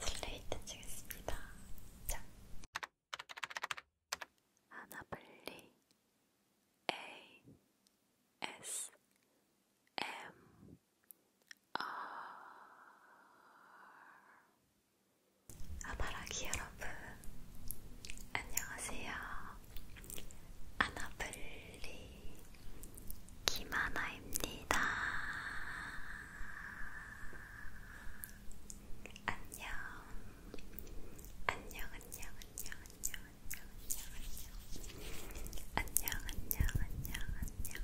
슬레이트 치겠습니다. 자. 아나블리 A S M R 아바라기 여러분 안녕하세요. 아나블리 김하나입니다. 안녕. 안녕, 안녕, 안녕, 안녕, 안녕, 안녕, 안녕, 안녕, 안녕, 안녕, 안녕,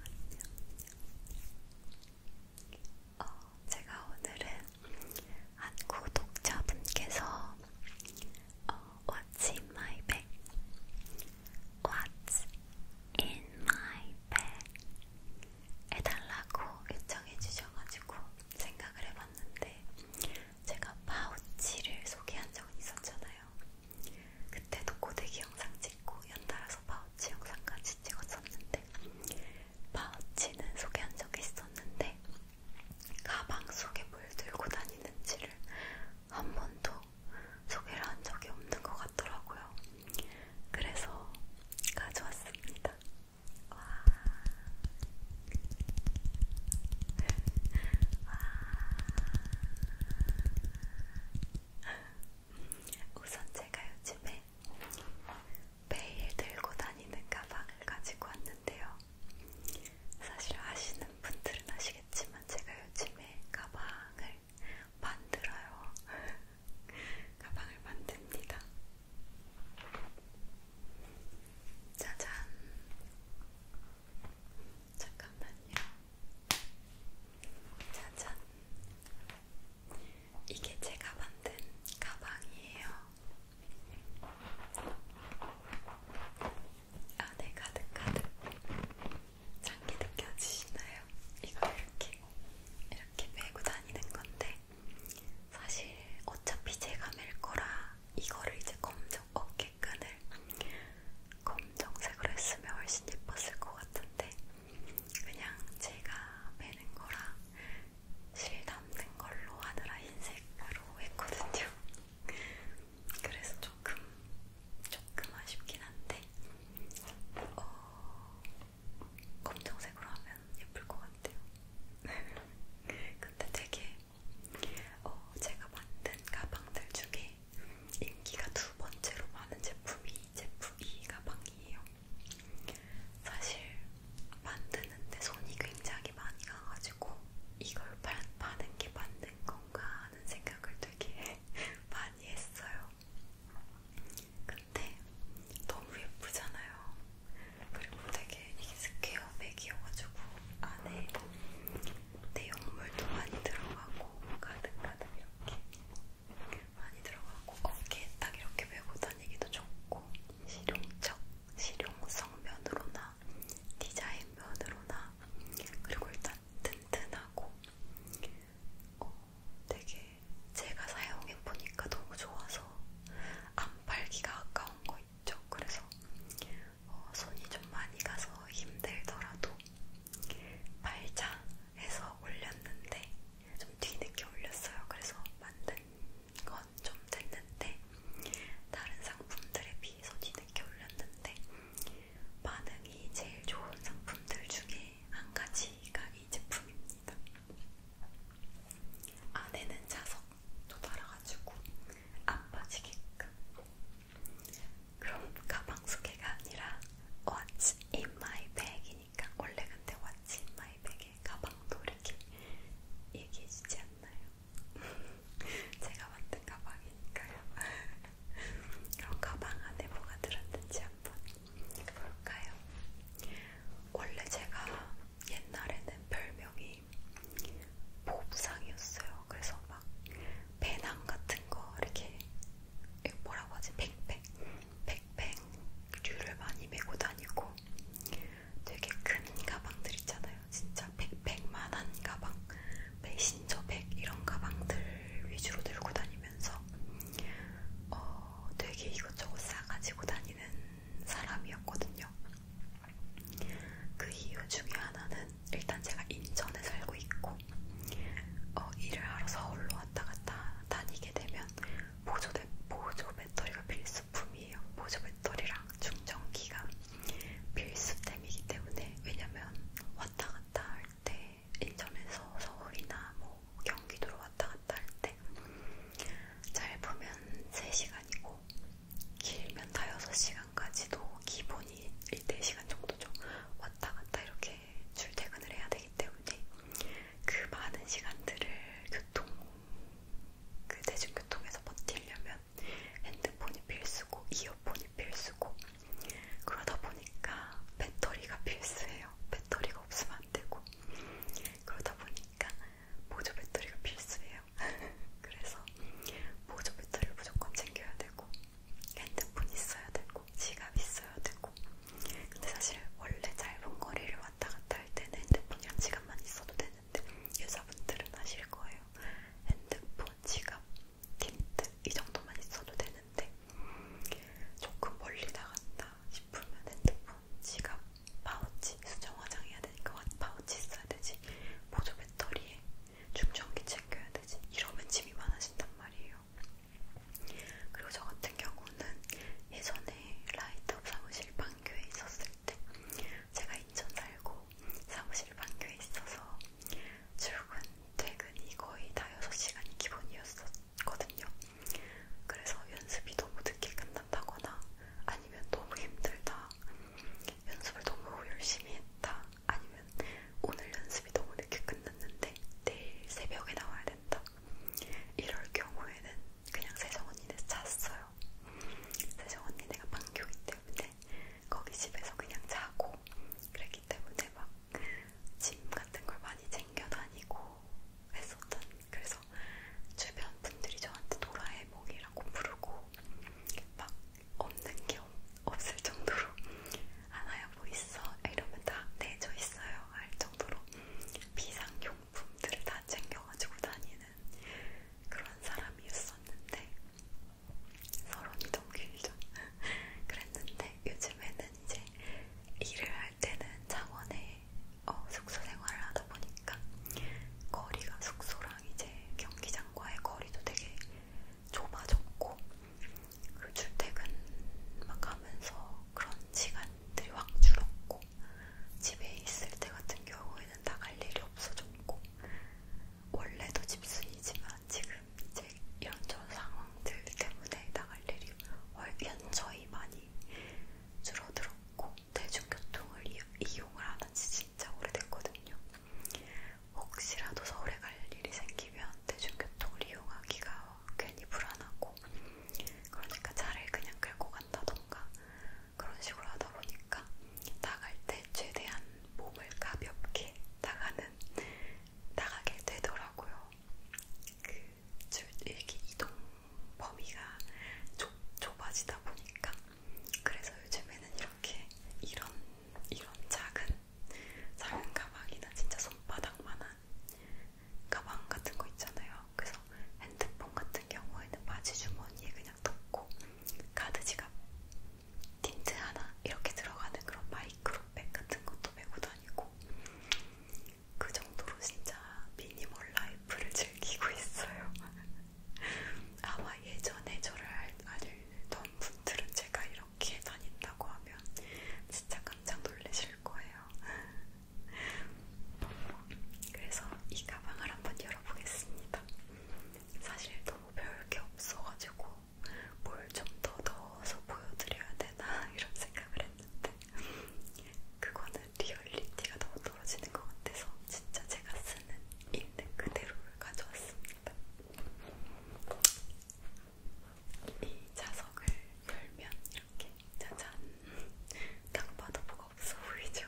안녕. 어, 제가 오늘은 한 구독자분께서 어, What's in my bag? What's in my 네. 해달라고 요청해 주셔가지고 생각을 해봤는데 제가 파우치를 소개한 적은 있었잖아요. 그때도 고데기 영상 찍고 연달아서 파우치 영상까지 찍었었는데 파우치는 소개한 적이 있었는데 가방 속에 뭘 들고 다니는지를 한 번도 소개를 한 적이 없는 것 같더라고요. 그래서 가져왔습니다. 와. 와. 우선 제가 요즘에 매일 들고 다니는 가방을 가지고 왔는데요. 사실 아시는 분들은 아시겠지만 제가 요즘에 가방을 만들어요. 가방을 만듭니다. 짜잔. 잠깐만요. 짜잔. 이게 제가 만든 가방이에요. 안에 아, 네, 가득가득 장기 느껴지시나요? 이걸 이렇게 이렇게 메고 다니는 건데 사실 어차피 제가 멜 거라 이거를 이제 검정 어깨끈을 검정색으로 했으면 훨씬 예뻤을 것 같은데 그냥 제가 매는 거라 실 담는 걸로 하느라 흰색으로 했거든요. 그래서 조금 조금 아쉽긴 한데 어, 검정색으로 하면 예쁠 것 같아요. 근데 되게 어, 제가 만든 가방들 중에 인기가 두 번째로 많은 제품이 제품 이 e 가방이에요. 사실 만드는데 손이 굉장히 많이 가가지고 이걸 받는 게 맞는 건가 하는 생각을 되게 많이 했어요. 근데 너무 예쁘잖아요. 그리고 되게 이게 스퀘어백이어가지고 안에 내용물도 많이 들어가고 가득가득 이렇게 많이 들어가고 어깨에 딱 이렇게 메고 다니기도 좋고 실용적, 실용성 면으로나 디자인 면으로나 그리고 일단 약간 튼튼하고 어, 되게 제가 사용해보니까 너무 좋아서 안 팔기가 아까운 거 있죠. 그래서 어, 손이 좀 많이 가서 힘들더라도 팔자 해서 올렸는데 좀 뒤늦게 올렸어요. 그래서 만든 건 좀 됐는데 다른 상품들에 비해서 뒤늦게 올렸는데 반응이 제일 좋은 상품들 중에 한 가지가 이 제품입니다. 안에는 자석도 달아가지고 안 빠지게끔 그럼 가방 속에가 아니라 What's in my bag이니까 원래 근데 What's in my bag에 가방도 이렇게 얘기해주지 않나요? 제가 만든 가방이니까요. 그럼 가방 안에 뭐가 들었는지 한번 뭘까요? 원래 제가 옛날에는 별명이 보부상이었어요. 그래서 막 배낭 같은 거 이렇게 뭐라고 하지? 백팩, 백팩류를 많이 메고 다니고 되게 큰 가방들 있잖아요. 진짜 백팩만한 가방, 메신저백 이런 가방들 위주로 들고 다니고 다니면서 어, 되게 이것저것 싸가지고 다니는 사람이었거든요. 그 이유 중에 하나는 일단 제가 인천에 살고 있고 어, 일을 하러 서울로 왔다 갔다 다니게 되면 보조, 대, 보조 배터리가 필수품이에요. 보조 배터리랑 충전기가 필수템이기 때문에 왜냐면 왔다 갔다 할때 인천에서 서울이나 뭐 경기도로 왔다 갔다 할 때 잘 보면 3시간이고 길면 다 6시간까지도 기본이 1-2시간 정도죠. 왔다 갔다 이렇게 출퇴근을 해야 되기 때문에 그 많은 시간들을 교통, 그 대중교통에서 버티려면 핸드폰이 필수고 이어폰이 필수고 그러다 보니까 배터리가 필수예요. 배터리가 없으면 안 되고 그러다 보니까 보조 배터리가 필수예요. 그래서 보조 배터리를 무조건 챙겨야 되고 핸드폰 있어야 되고 지갑 있어야 되고 근데 사실 원래 짧은 거리를 왔다 갔다 할 때는 핸드폰이랑 지갑만 있어도 되는데 여자분들은 아실 거예요. 핸드폰, 지갑 틴트 이 정도만 있어도 되는데 조금 멀리 나갔다 싶으면 핸드폰, 지갑, 파우치 수정 화장해야 되니까 파우치 있어야 되지 보조 배터리에 충전기 챙겨야 되지 이러면 짐이 많아진단 말이에요. 그리고 저 같은 경우는 예전에 라이트업 사무실 반교에 있었을 때 제가 인천 살고 사무실 반교에 있어서 출근, 퇴근이 거의 다 6시간이 기본이었거든요. 그래서 연습이 너무 늦게 끝난다거나 아니면 너무 힘들다, 연습을 너무 열심히 했다, 아니면 오늘 연습이 너무 늦게 끝났는데 내일 새벽에 나와야 된다. 이럴 경우에는 그냥 세정 언니네 잤어요. 세정 언니 내가 방교기 때문에 거기 집에서 그냥 자고 있고 그랬기 때문에 막짐 같은 걸 많이 챙겨 다니고 했었던 그래서 주변 분들이 저한테 도라에몽이라고 부르고 막 없는 게 없을 정도로 하나야 뭐 있어 이러면 다 내져 있어요 할 정도로 비상용품들을 다 챙겨가지고 다니는 그런 사람이었었는데 서론이 너무 길죠. 그랬는데 요즘에는 이제 일을 할 때는 창원에 어, 숙소 생활을 하다 보니까 거리가 숙소랑 이제 경기장과의 거리도 되게 좁아졌고 그 출퇴근 막 하면서 그런 시간들이 확 줄었고 집에 있을 때 같은 경우에는 나갈 일이 없어졌고 원래도 집순이지만 지금 제 연초 상황들 때문에 나갈 일이 연초이 많이 줄어들었고 대중교통을 이용을 안한지 진짜 오래됐거든요. 혹시라도 서울에 갈 일이 생기면 대중교통을 이용하기가 괜히 불안하고 그러니까 차를 그냥 끌고 간다던가 그런 식으로 하다 보니까 나갈 때 최대한 몸을 가볍게 나가는 나가게 되더라고요. 그 이렇게 이동 범위가 좁, 좁아지다 보니까 그래서 요즘에는 이렇게 이런 이런 작은 작은 가방이나 진짜 손바닥만한 가방 같은 거 있잖아요. 그래서 핸드폰 같은 경우에는 바지 주머니에 그냥 넣고 카드 지갑 틴트 하나 이렇게 들어가는 그런 마이 마이크로백 같은 것도 메고 다니고 그 정도로 진짜 미니멀 라이프를 즐기고 있어요. 아마 예전에 저를 알던 분들은 제가 이렇게 다닌다고 하면 진짜 깜짝 놀라실 거예요. 그래서 이 가방을 한번 열어보겠습니다. 사실 너무 별게 없어가지고 뭘좀더 넣어서 보여드려야 되나 이런 생각을 했는데 그거는 리얼리티가 너무 떨어지는 것 같아서 진짜 제가 쓰는 있는 그대로를 가져왔습니다. 이 자석을 열면 이렇게 짜잔 딱 봐도 뭐가 없어 보이죠?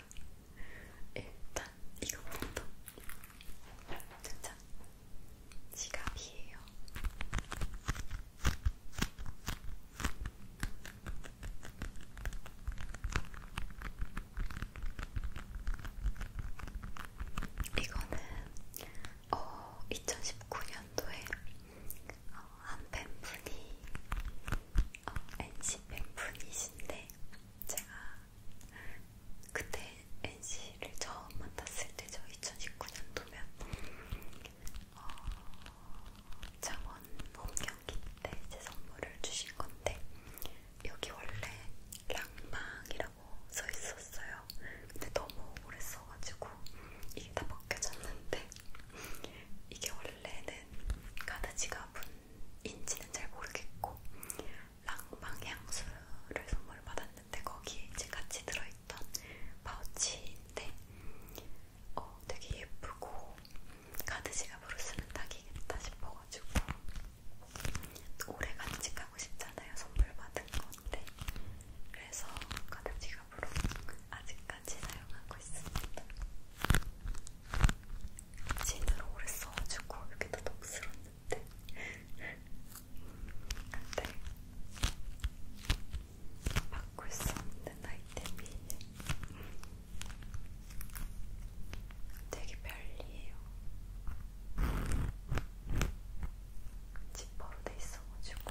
일단 이거부터 짜잔 지갑이에요. 이거는 어, 2019년도에 어, 한 팬분이 어, NC 팬분이신데 제가 그때 NC를 처음 만났을 때저 2019년도면 어, 창원 홈경기 때 제 선물을 주신 건데 여기 원래 랑망이라고 써 있었어요. 근데 너무 오래 써가지고 이게 다 벗겨졌는데 이게 원래는 가드 지갑은인지는 잘 모르겠고 랑망 향수를 선물 받았는데 거기에 이제 같이 들어 들어있던 파우치인데 어, 되게 예쁘고 카드 지갑으로 쓰면 딱이겠다 싶어가지고 오래 간직하고 싶잖아요. 선물 받은 건데 그래서 카드 지갑으로 아직까지 사용하고 있습니다. 진으로 오래 써가지고 이렇게 다 덥스럽네. 돼. 안 돼. 바꿀 수 없는 아이템이 되게 별리해요. 지퍼로 돼 있어가지고.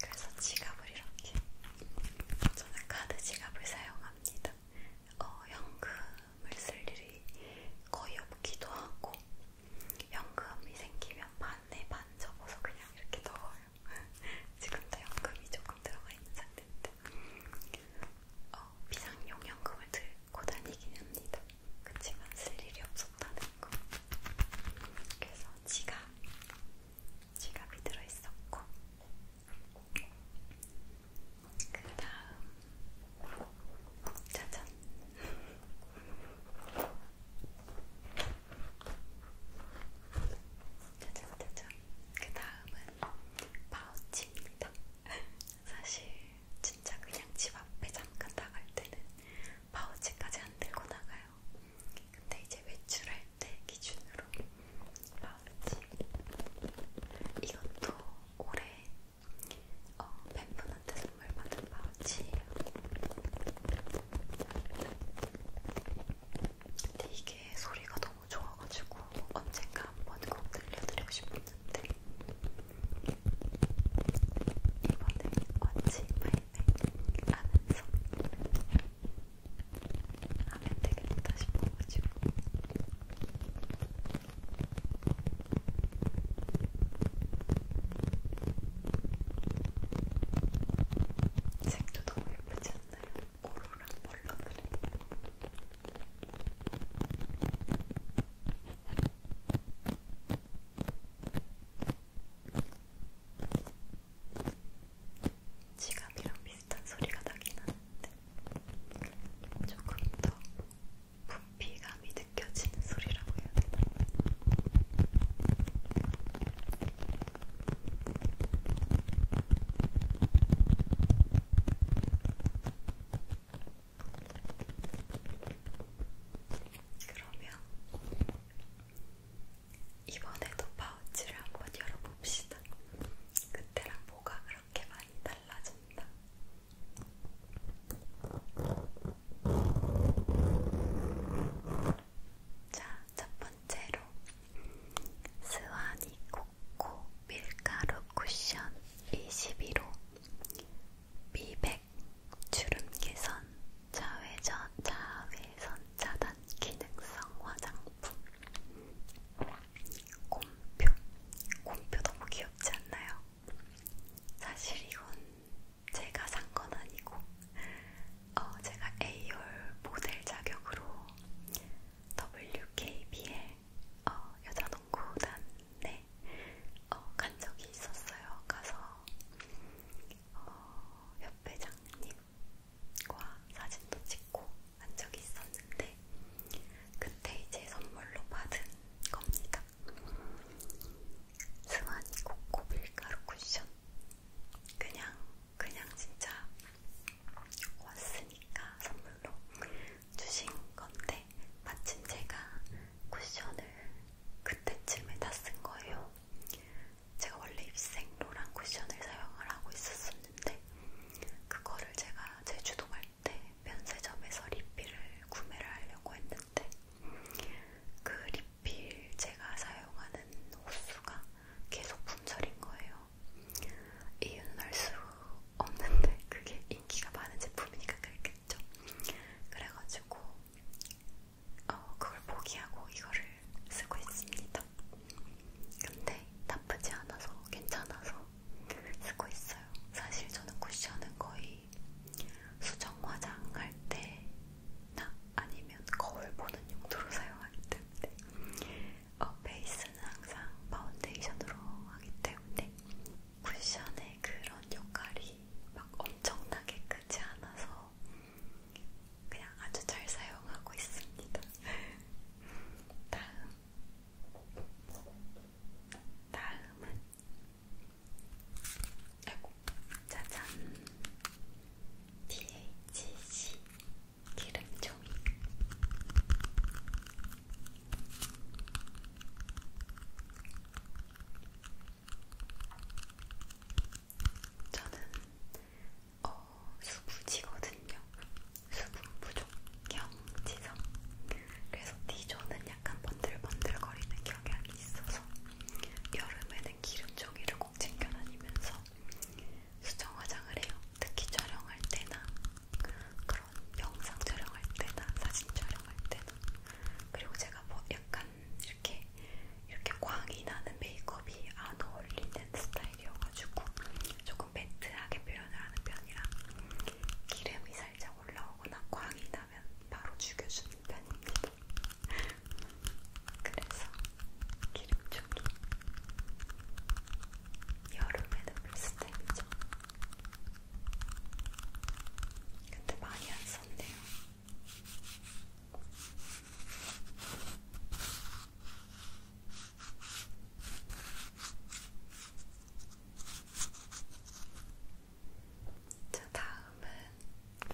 그래서 지갑을 이렇게 저는 카드 지갑을 사용합니다. 어, 현금 연금을 쓸 일이 거의 없기도 하고 연금이 생기면 반에 반 접어서 그냥 이렇게 넣어요. 지금도 연금이 조금 들어가 있는 상태인데 어, 비상용 연금을 들고 다니긴 합니다. 그치만 쓸 일이 없었다는 거. 그래서 지갑, 지갑이 들어있었고 그 다음 짜잔 짜잔 짜잔 그 다음은 파우치입니다 사실 진짜 그냥 집 앞에 잠깐 나갈 때는 파우치까지 안 들고 나가요 근데 이제 외출할 때 기준으로 파우치 이것도 올해 어, 팬분한테 선물 받은 파우치예요. 근데 이게 소리가 너무 좋아가지고 언젠가 한번 꼭 들려드리고 싶었는데 이번에 언제 말을 하면서 하면 되겠다 싶어가지고 색도 너무 예쁘지 않나요? 오로랑 펄럭이네. 지갑이랑 비슷한 소리가 나긴 하는데 조금 더 분비감이 느껴지는 소리라고 해야 되나? 그러면 이번에도 파우치를 한번 열어봅시다. 그때랑 뭐가 그렇게 많이 많이 달라진다. 자, 첫 번째로 스와니 코코 밀가루 쿠션 21호 미백 주름 개선 자외전 자외선 차단 기능성 화장품 곰표 곰표 너무 귀엽지 않나요? 사실 이건 제가 산 건 아니고 어, 제가 A열 모델 자격으로 WKBL 어, 여자농구단에 어, 간 적이 있었어요. 가서 어, 협회장님과 사진도 찍고 간 적이 있었는데 그때 이제 선물로 받은 겁니다. 승환이 코코 밀가루 쿠션 그냥 그냥 진짜 왔으니까 선물로 주신 건데 마침 제가 쿠션을 그때쯤에 다 쓴 거예요. 제가 원래 입생로랑 쿠션을 사용을 하고 있었었는데 그거를 제가 제주도 갈 네, 면세점에서 리필을 구매를 하려고 했는데 그 리필 제가 사용하는 호수가 계속 품절인 거예요. 이유는 알 수 없는데 그게 인기가 많은 제품이니까 그랬겠죠. 그래가지고 어, 그걸 포기하고 이거를 쓰고 있습니다. 근데 나쁘지 않아서 괜찮아서 쓰고 있어요. 사실 저는 쿠션은 거의 수정 화장할 때나 아니면 거울 보는 용도로 사용하기 때문에 어, 베이스는 항상 파운데이션으로 하기 때문에 쿠션의 그런 역할이 막 엄청나게 크지 않아서 그냥 아주 잘 사용하고 있습니다. 다음 다음은 아이고 짜잔 DHC 기름종이 저는 어, 수부지거든요. 수분 부족 경지성. 그래서 디조는 약간 번들번들거리는 경향이 있어서 여름에는 기름종이를 꼭 챙겨 다니면서 수정 화장을 해요. 특히 촬영할 때나 그런 영상 촬영할 때나 사진 촬영할 때나 그리고 제가 뭐 약간 이렇게 이렇게 광이 나는 메이크업이 안 어울리는 스타일이어가지고 조금 매트하게 표현을 하는 편이라 기름이 살짝 올라오거나 광이 나면 바로 죽여주는 편입니다. 그래서 기름종이 여름에는 물스텝이죠. 근데 많이 안 썼네요. 자, 다음은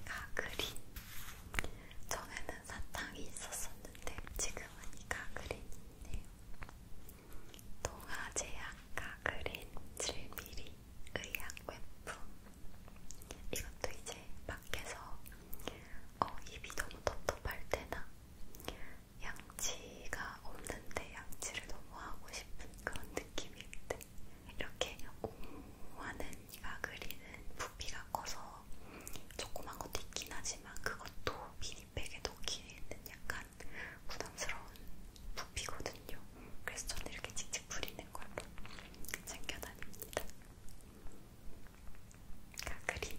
가그린. 전에는 사탕이 있었었는데 지금은 이 가그린이 있네요. 동아제약 가그린 7mm 의약 외품. 이것도 이제 밖에서 어, 입이 너무 텁텁할 때나 양치가 없는데 양치를 너무 하고 싶은 그런 느낌일 때 이렇게 옹호하는 이가 그리는 부피가 커서 조그만 것도 있긴 하지만 그것도 미니백에 넣기에는 약간 부담스러운 부피거든요. 그래서 저는 이렇게 직접 부리는 걸로 챙겨다닙니다. 가그린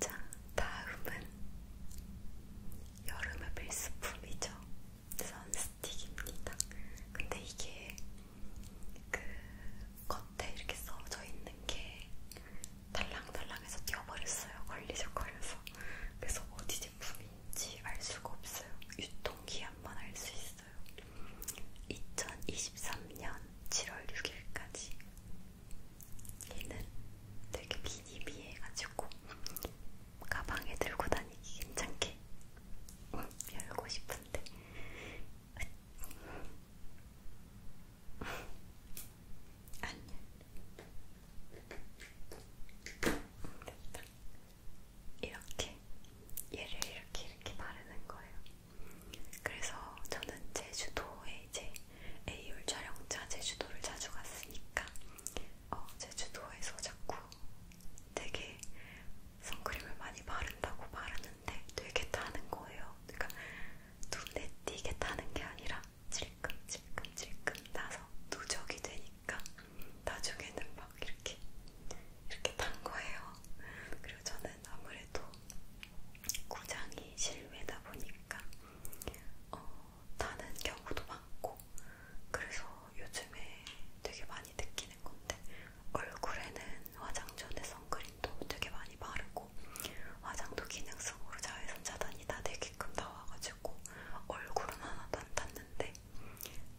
자, 다음은 여름의 필수품이죠. 선스틱입니다. 근데 이게 그 겉에 이렇게 써져 있는 게 달랑달랑해서 뛰어버렸어요. 걸리적거려서. 그래서 어디 제품인지 알 수가 없어요. 유통기한만 알 수 있어요. 2023년 7월 6일까지. 얘는 되게 미니미해가지고 가방에 들고 다니기 괜찮게 열고 싶은데 안녕. 됐다. 이렇게 얘를 이렇게 이렇게 바르는 거예요. 그래서 저는 제주도에 이제 에이올 촬영차 제주도를 자주 갔으니까 어, 제주도에서 자꾸 되게 선크림을 많이 바른다고 바르는데 되게 타는 거예요. 그러니까 눈에 띄게 타는 게 아니라 질끔질끔질끔 나서 누적이 되니까 나중에는 막 이렇게 이렇게 탄 거예요. 그리고 저는 아무래도 구장이 실외다 보니까 어, 타는 경우도 많고 그래서 요즘에 되게 많이 느끼는 건데 얼굴에는 화장 전에 선크림도 되게 많이 바르고 있고 화장도 기능성으로 자외선 차단이 다 되게끔 나와가지고 얼굴은 하나도 안 닿는데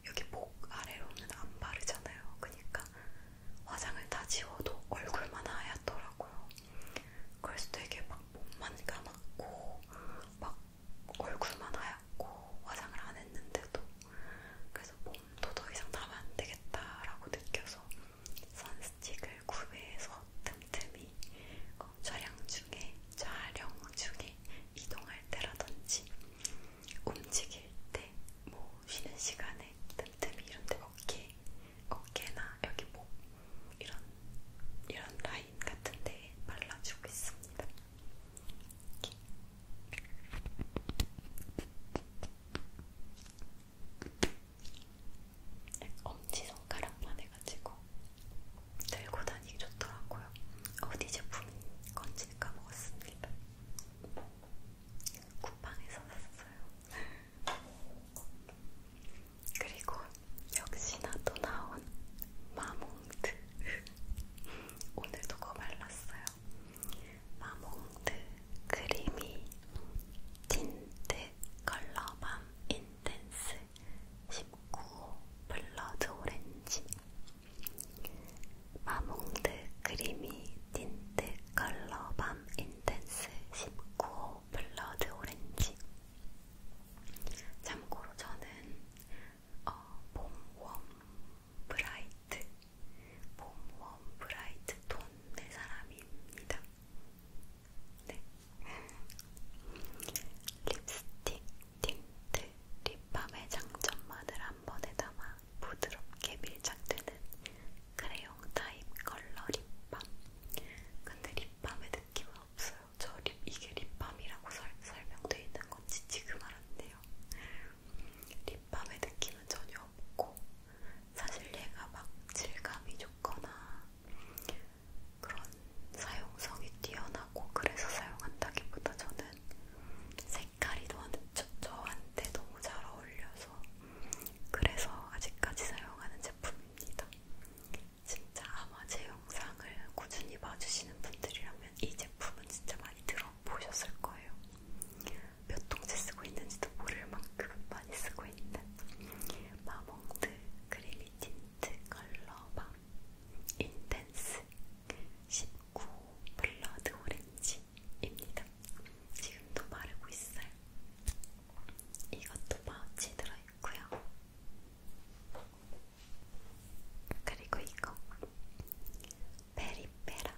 여기 목 아래로는 안 바르잖아요. 그러니까 화장을 다 지워도 얼굴만 하얗더라고요. 그래서 되게 막 몸만 감았고 막 얼굴만 하얗고 화장을 안 했는데도 그래서 몸도 더 이상 담으면 안 되겠다라고 느껴서 선스틱을 구매해서 틈틈이 어, 촬영 중에, 촬영 중에 이동할 때라든지 움직일 때, 뭐 쉬는 시간에 틈틈이 이런데 어깨, 어깨나 여기 목 이런 이런 라인 같은데 발라주고 있습니다. 이렇게. 이렇게 엄지손가락만 해가지고 들고 다니기 좋더라고요. 어디 제품인 건지 까먹었습니다. 쿠팡에서 샀어요. 그리고 역시나 또 나온 마몽드 오늘도 거 발랐어요. 마몽드 크리미 틴트 컬러밤 인텐스 19호 블러드 오렌지 마몽드 크리미 틴트 컬러밤 인텐스 19호 블러드 오렌지 참고로 저는 어, 봄웜 브라이트 봄웜 브라이트 톤의 사람입니다. 네. 립스틱, 틴트, 립밤의 장점만을 한 번에 담아 부드럽게 밀착되는 크레용 타입 컬러 립밤. 근데 립밤의 느낌은 없어요. 저 립, 이게 립밤이라고 설, 설명되어 있는 건지 지금 알았네요. 립밤의 느낌은 전혀 없고 사실 얘가 막 질감이 좋거나 그런 사용성이 뛰어나고 그래서 사용한다기보다 저는 색깔이 저, 저한테 너무 잘 어울려서 그래서 아직까지 사용하는 제품입니다. 진짜 아마 제 영상을 꾸준히 봐주시는 분들이라면 이 제품은 진짜 많이 들어보셨을 거예요. 몇 통째 쓰고 있는지도 모를 만큼 많이 쓰고 있는 마몽드 크리미 틴트 컬러밤 인텐스 19 블러드 오렌지입니다. 지금도 바르고 있어요. 이것도 파우치 들어있고요. 그리고 이거 베리페라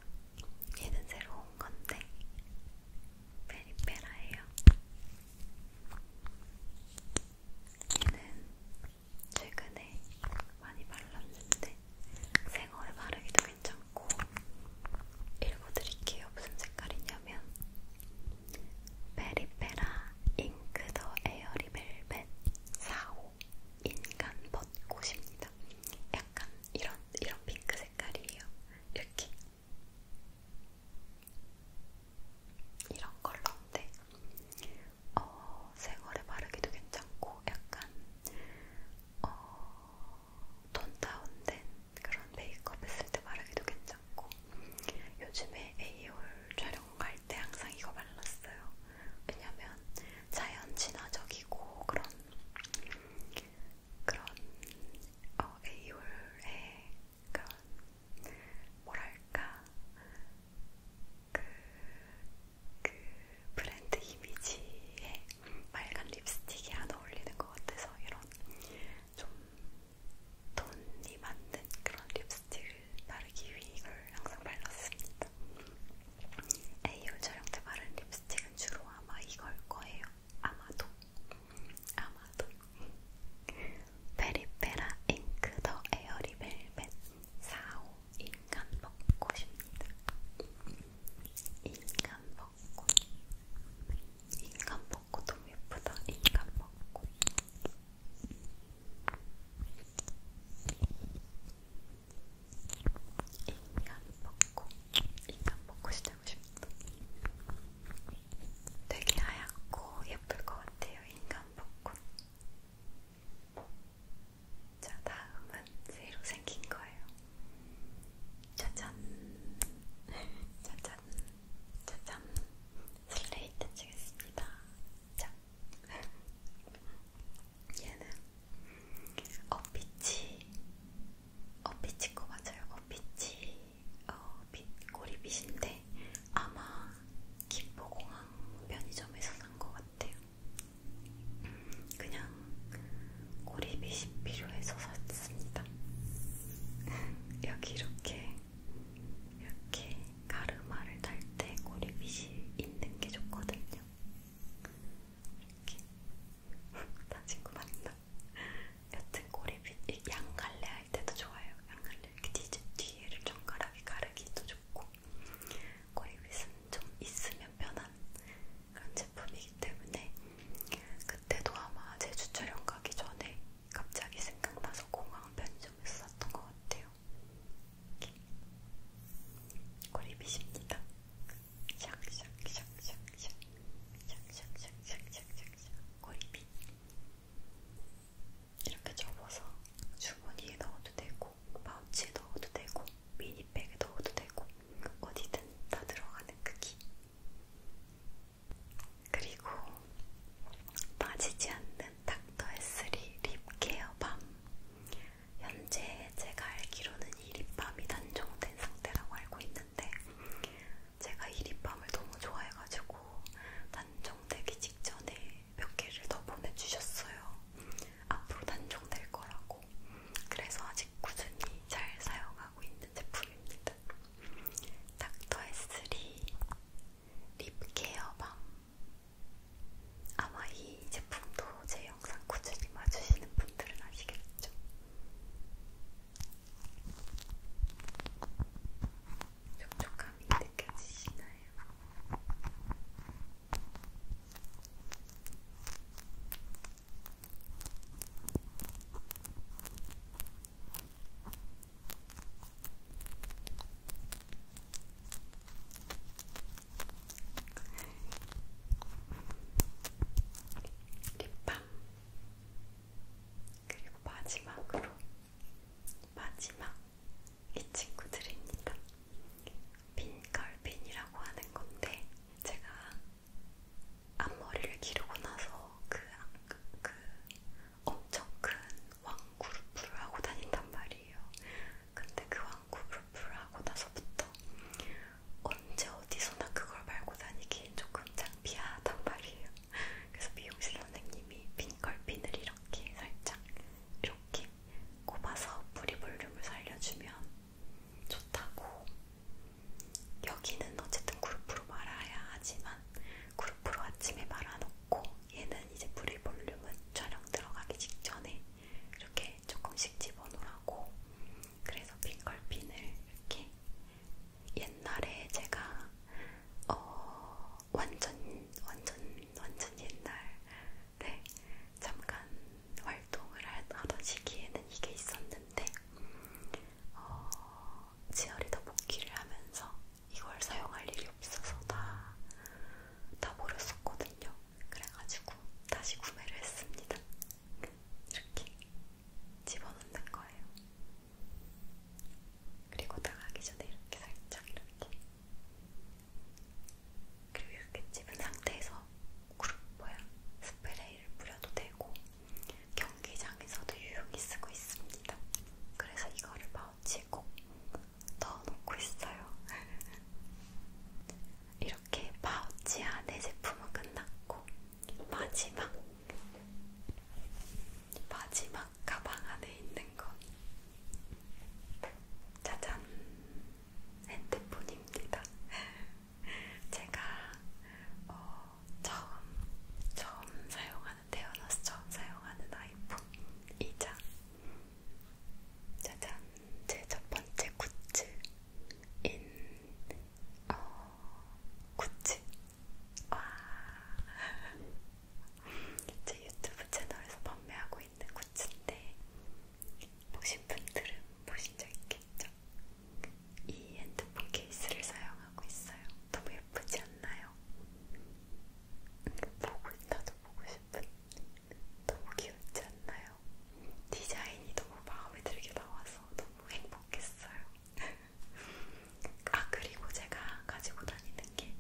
얘는 새로 온 건데 페리페라예요. 얘는 최근에 많이 발랐는데 생얼에 바르기도 괜찮고 읽어드릴게요. 무슨 색깔이냐면 페리페라 잉크 더 에어리 벨벳 4호 인간 벚꽃입니다. 약간 이런 이런 핑크 색깔이에요. 이렇게 이런 컬러인데 어, 생얼에 바르기도 괜찮고 약간 어, 톤 다운된 그런 메이크업 했을 때 바르기도 괜찮고 요즘에 에이올 촬영할 때 항상 이거 발랐어요. 왜냐면 자연 친화적이고 그런 그런 어, 에이홀의 그런 뭐랄까 그, 그 브랜드 이미지에 빨간 립스틱이 안 어울리는 것 같아서 이런 좀 돈이 맞는 그런 립스틱을 바르기 위해 이걸 항상 발랐습니다. 에이홀 촬영 때 바른 립스틱은 주로 아마 이걸 거예요. 아마도 아마도 페리페라 잉크 더 에어리 벨벳 4호 인간 벚꽃입니다. 인간 벚꽃 인간 벚꽃 너무 예쁘다. 인간 벚꽃 인간 벚꽃 인간 벚꽃이 되고 싶다. 되게 하얗고 예쁠 것 같아요, 인간 벚꽃. 자, 다음은 새로 생긴 거예요. 짜잔, 짜잔, 짜잔. 슬레이트 치겠습니다. 자, 얘는 어빛이 어피치코 맞아요. 어피치 어, 빛, 꼬리빗인데 아마 김포공항 편의점에서 산 것 같아요. 음, 그냥 꼬리빗이 필요해서 샀습니다. 여기 이렇게 이렇게 가르마를 달때 꼬리빗이 있는 게 좋거든요. 이렇게 다 친구 만나. 여튼 꼬리빗 양갈래 할 때도 좋아요. 양갈래 이렇게 뒤, 뒤를 정갈하게 가르기도 좋고 꼬리빗은 좀 있으면 편한 그런 제품이기 때문에 그때도 아마 제주 촬영 가기 전에 갑자기 생각나서 공항 편의점에서 샀던 것 같아요. 꼬리빗입니다. 샥샥샥샥샥샥샥샥샥샥샥샥샥샥샥샥 꼬리핀 이렇게 접어서 주머니에 넣어도 되고 파우치에 넣어도 되고 미니백에 넣어도 되고 어디든 다 들어가는 크기 그 그리고 빠지지 않는 닥터에스리 립케어 밤 현재 제가 알기로는 이 립밤이 단종된 상태라고 알고 있는데 제가 이 립밤을 너무 좋아해가지고 단종되기 직전에 몇 개를 더 보내주셨어요. 앞으로 단종될 거라고. 그래서 아직 꾸준히 잘 사용하고 있는 제품입니다. 닥터에스리 립케어밤 아마 이 제품도 제 영상 꾸준히 봐주시는 분들은 아시겠죠? 촉촉함이 느껴지시나요? 립밤 그리고 마지막으로 마지막 이 친구들입니다. 빈컬빈이라고 하는 건데 제가 앞머리를 기르고 나서 그, 그 엄청 큰 왕구루프를 하고 다닌단 말이에요. 근데 그 왕구루프를 하고 나서부터 언제 어디서나 그걸 말고 다니기엔 조금 창피하단 말이에요. 그래서 미용실 선생님이 핑컬핀을 이렇게 살짝 이렇게 꼽아서 뿌리 볼륨을 살려주면 좋다고. 여기는 어쨌든 그룹으로 말아야 하지만 그룹으로 아침에 말아놓고 얘는 이제 뿌리 볼륨은 촬영 들어가기 직전에 이렇게 조금씩 집어넣으라고 그래서 핑걸핀을 이렇게 옛날에 제가 어, 완전 완전 완전 옛날에 잠깐 활동을 하던 시기에는 이게 있었는데 어, 지열이다 복귀를 하면서 이걸 사용할 일이 없어서 다, 다 버렸었거든요. 그래가지고 다시 구매를 했습니다. 이렇게 집어넣는 거예요. 그리고 나가기 전에 이렇게 살짝 이렇게 그리고 이렇게 집은 상태에서 그룹 뭐야 스프레이를 뿌려도 되고 경기장에서도 유용히 쓰고 있습니다. 그래서 이거를 파우치에 꼭 넣어놓고 있어요. 이렇게 파우치 안에 제품은 끝났고 마지막 마지막 가방 안에 있는 건 짜잔 핸드폰입니다. 제가 어, 처음 처음 사용하는 태어나서 처음 사용하는 아이폰이자 짜잔 제 첫 번째 굿즈 인, 어, 구찌. 와. 제 유튜브 채널에서 판매하고 있는 구찌인데, 보신 분들은 보신 적 있겠죠? 이 핸드폰 케이스를 사용하고 있어요. 너무 예쁘지 않나요? 음, 보고, 나도 보고 싶은. 너무 귀엽지 않나요? 있어요. 디자인이 너무 마음에 들게 나와서 너무 행복했어요. 아, 그리고 제가 가지고 다니는 게,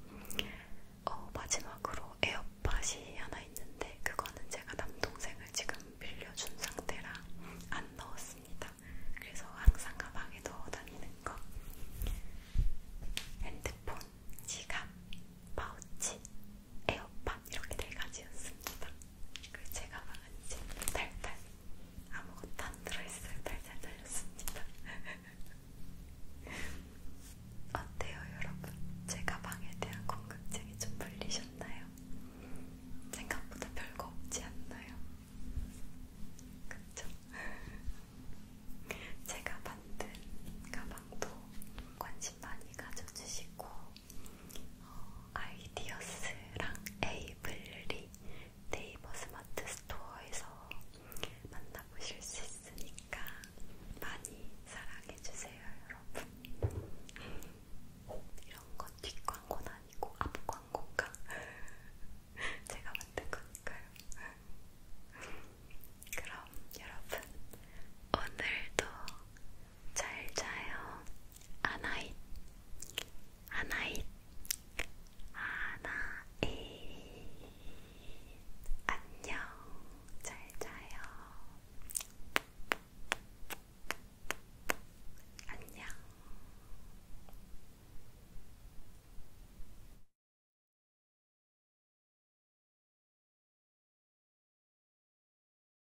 어, 마지막으로 에어팟이 하나 있는데, 그거는 제가 남동생을 지금 빌려준 상태라 안 넣었습니다. 그래서 항상 가방에 넣어 다니는 거. 핸드폰, 지갑, 파우치, 에어팟 이렇게 네 가지였습니다. 그리고 제가 말한 칩은 탈탈 아무것도 안 들어있어요. 탈탈 달렸습니다. 어때요 여러분? 제가 방에 대한 궁금증이 좀 풀리셨나요? 생각보다 별거 없지 않나요? 그쵸? 제가 만든 가방도 관심 많이 가져주시고 어, 아이디어스랑 에이블리 네이버 스마트 스토어에서 만나보실 수 있으니까 많이 사랑해주세요, 여러분. 이런 건 뒷광고는 아니고 앞광고가 제가 만든 거니까요. 그럼 여러분, 오늘도 잘 자요. 아나잇 아나잇 아나잇 안녕 잘 자요 안녕